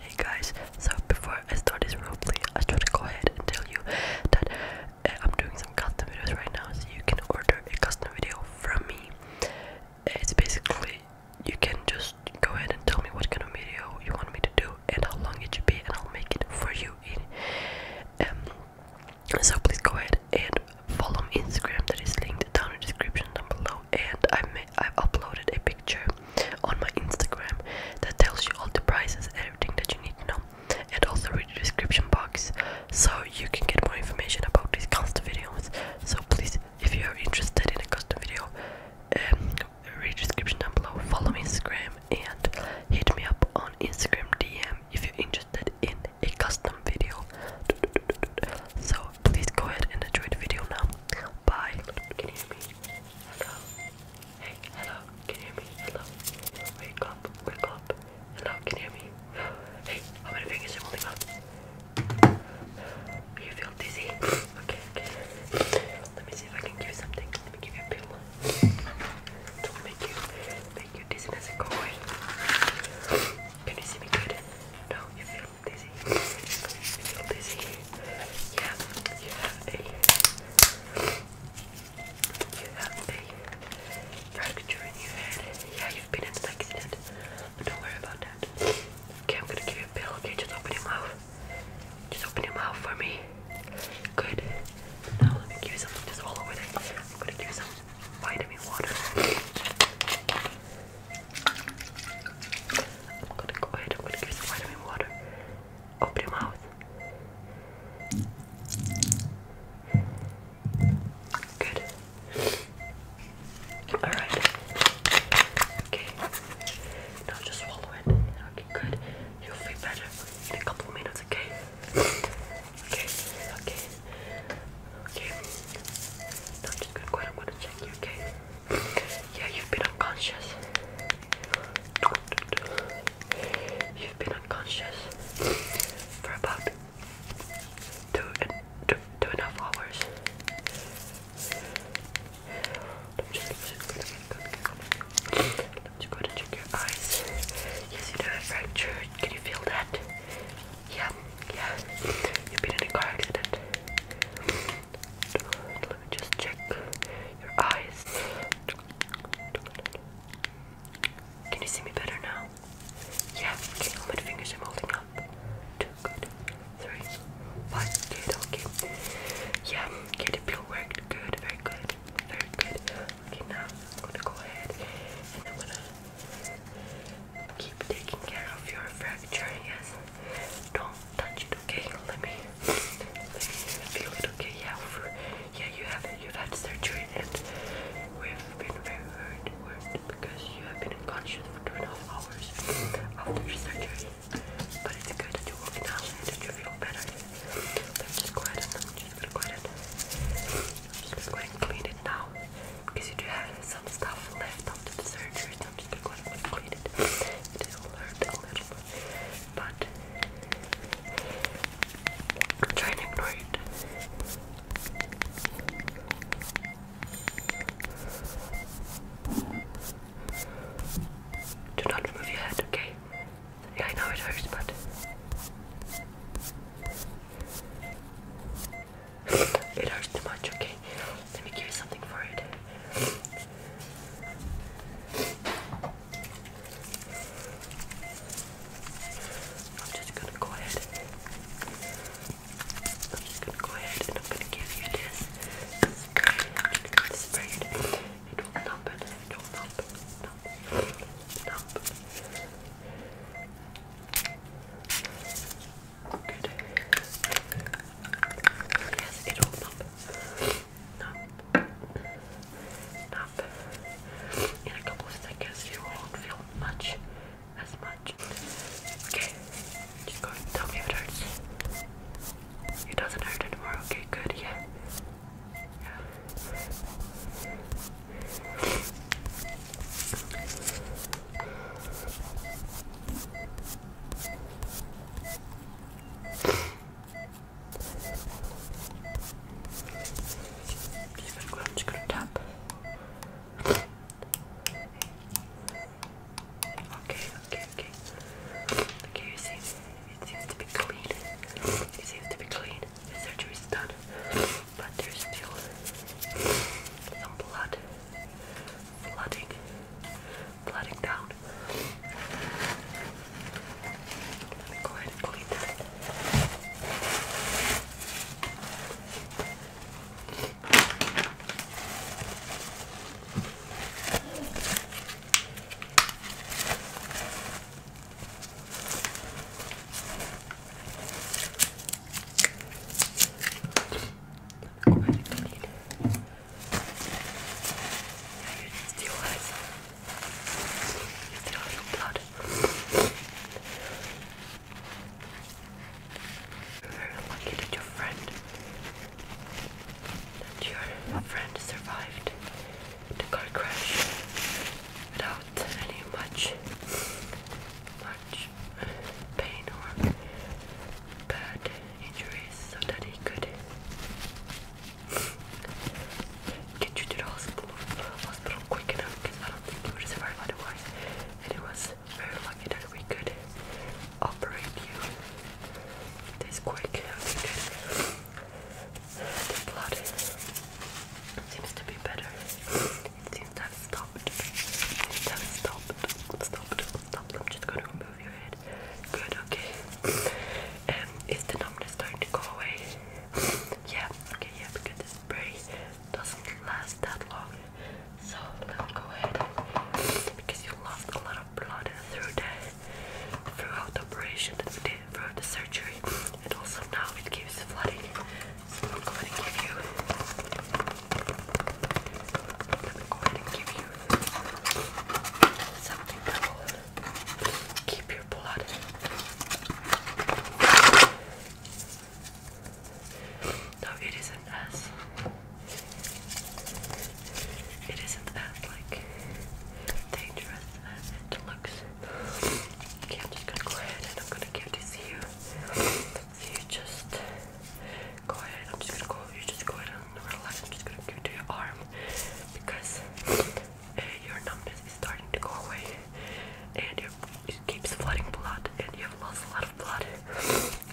Hey guys, so before I start this play, I just want to go ahead and tell you that eh, I'm doing some custom videos right now, so you can order a custom video from me. It's basically you can just go ahead and tell me what kind of video you want me to do and how long it should be, and I'll make it for you. In um, so please go ahead and follow my Instagram that is linked down in the description down below, and I may I've uploaded a picture on my Instagram that tells you all the prices and everything that you need to know, and also read the description box so you can get more information about these custom videos. So please, if you are interested in a custom video, um, read the description down below. Follow me Instagram and hit me up on Instagram DM if you're interested in a custom video. So please go ahead and enjoy the video now. Bye. Can you hear me? Hello. Hey, hello. Can you hear me? Hello. Wake up. Wake up. Hello. Can you hear me? Hey, how many fingers are holding up? Do you feel dizzy? okay, Let me see if I can give you something. Let me give you a pill. To make you make your dizziness go away. Can you see me good? No, dizzy. feel dizzy. Yeah, you you have a fracture in your head. Yeah, you've been in an accident. But don't worry about that. Okay, I'm gonna give you a pill, okay? Just open your mouth. Just open your mouth for me. Good. Now let me give you some just all over it. I'm gonna give you some vitamin water. I'm gonna go ahead, I'm gonna give you some vitamin water. Open your mouth. Good. Alright. Okay. Now just swallow it. Okay, good. You'll feel better in a couple minutes, okay? Okay, okay. Okay. Now i just gonna go ahead and to check you, okay? Yeah, you've been unconscious. You've been unconscious for about two and two, two and a half hours. I'm just, just going to check your eyes. you do have a fracture. Can you feel that? Yeah, yeah. You've been in a car accident. Let me just check your eyes. Can you see me better now? Yeah, how many fingers I'm holding up? Two, okay. Yeah, okay, the pill worked. Good, very good, very good. Okay, now I'm gonna go ahead and I'm gonna Keep taking care of your fracture, yes. Don't touch okay? Let me, feel it, okay? Yeah, yeah, you have you had surgery and we've been very worried, because you have been unconscious for two and a half hours after surgery. But it's good that you walk now that you feel better. just go ahead just go ahead just go ahead clean it now because you do have some stuff left after the surgery, I'm just going to clean it. It will hurt a little but i to ignore it. Do not move your head, okay? I know it hurts, but. It hurts too much, okay? Let me give you something for it. I'm just gonna go ahead. I'm just gonna go ahead and I'm gonna give you this. This spray. It will numb it. It will numb. Numb. Numb. Good. Yes, it will pop. Pop. Pop. In a couple of seconds, you won't feel much as much. Okay, just go. Tell me it hurts. It doesn't hurt anymore. Okay, good. Yeah. Yeah. I'm just gonna tap. Okay, okay, okay. Okay, you seem, you seem to be clean. You seem to be clean. The surgery is done, but there's still some blood flooding, flooding down. go ahead and clean that still has still has blood. You're very lucky that your friend that your friend survived the car crash without any much much pain or bad injuries so that he could get you to the hospital, hospital quick enough because I don't think you would survive otherwise and it was very lucky that we could operate you this quick. The blood seems to be better. It seems to have stopped. It seems to have stopped. Stopped. Stopped. I'm just gonna remove your head. Good, okay. Um, is the numbness starting to go away? Yeah, okay, yeah, because the spray doesn't last that long. So go ahead because you lost a lot of blood through the throughout the operation that from the surgery, and also now it keeps flooding. So I'm going to give you. I'm going to give you something that keep your blood. No, it isn't as. It isn't as like dangerous as it looks. Okay, I'm just gonna go ahead and I'm gonna give this here. So you just go ahead. I'm just gonna go. You just go ahead and relax. I'm just gonna give to your arm because uh, your numbness is starting to go away, and your, it flooding blood, and you have lost a lot of blood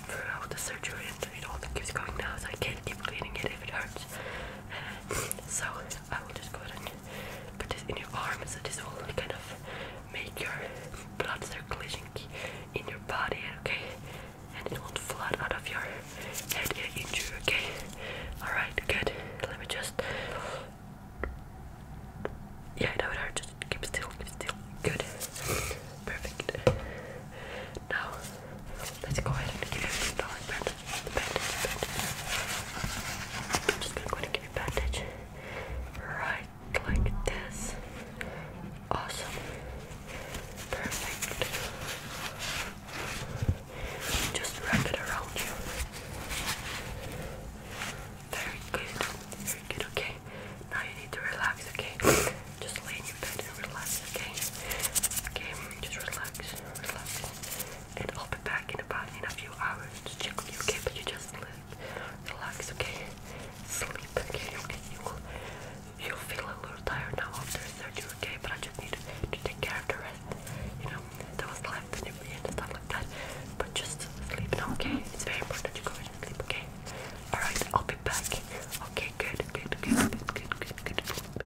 throughout the surgery, and it all keeps going now. So I can't keep cleaning it if it hurts. Uh, so I will just go ahead and put this in your arm so will kind of make your blood circulation in your body, okay? And it will flood out of your head and injury, okay? Alright, good. Let me just Yeah, that would hurt, just keep still, keep still. Good. Perfect. Now Let's go ahead and give you the bandage. I'm just gonna give you bandage. Right like this. Awesome. Perfect. Just wrap it around you. Very good. Very good, okay? Now you need to relax, okay? Just lay your bed and relax, okay? Okay, just relax, relax and I'll be back in about in a few hours to check on you, okay? But you just relax, okay? Sleep, okay? Okay, you will, you'll feel a little tired now after surgery, okay? But I just need to take care of the rest, you know, that was left and stuff like that. But just sleep now, okay? It's very important you go and sleep, okay? Alright, I'll be back. Okay, good, good, good, good, good, good, good.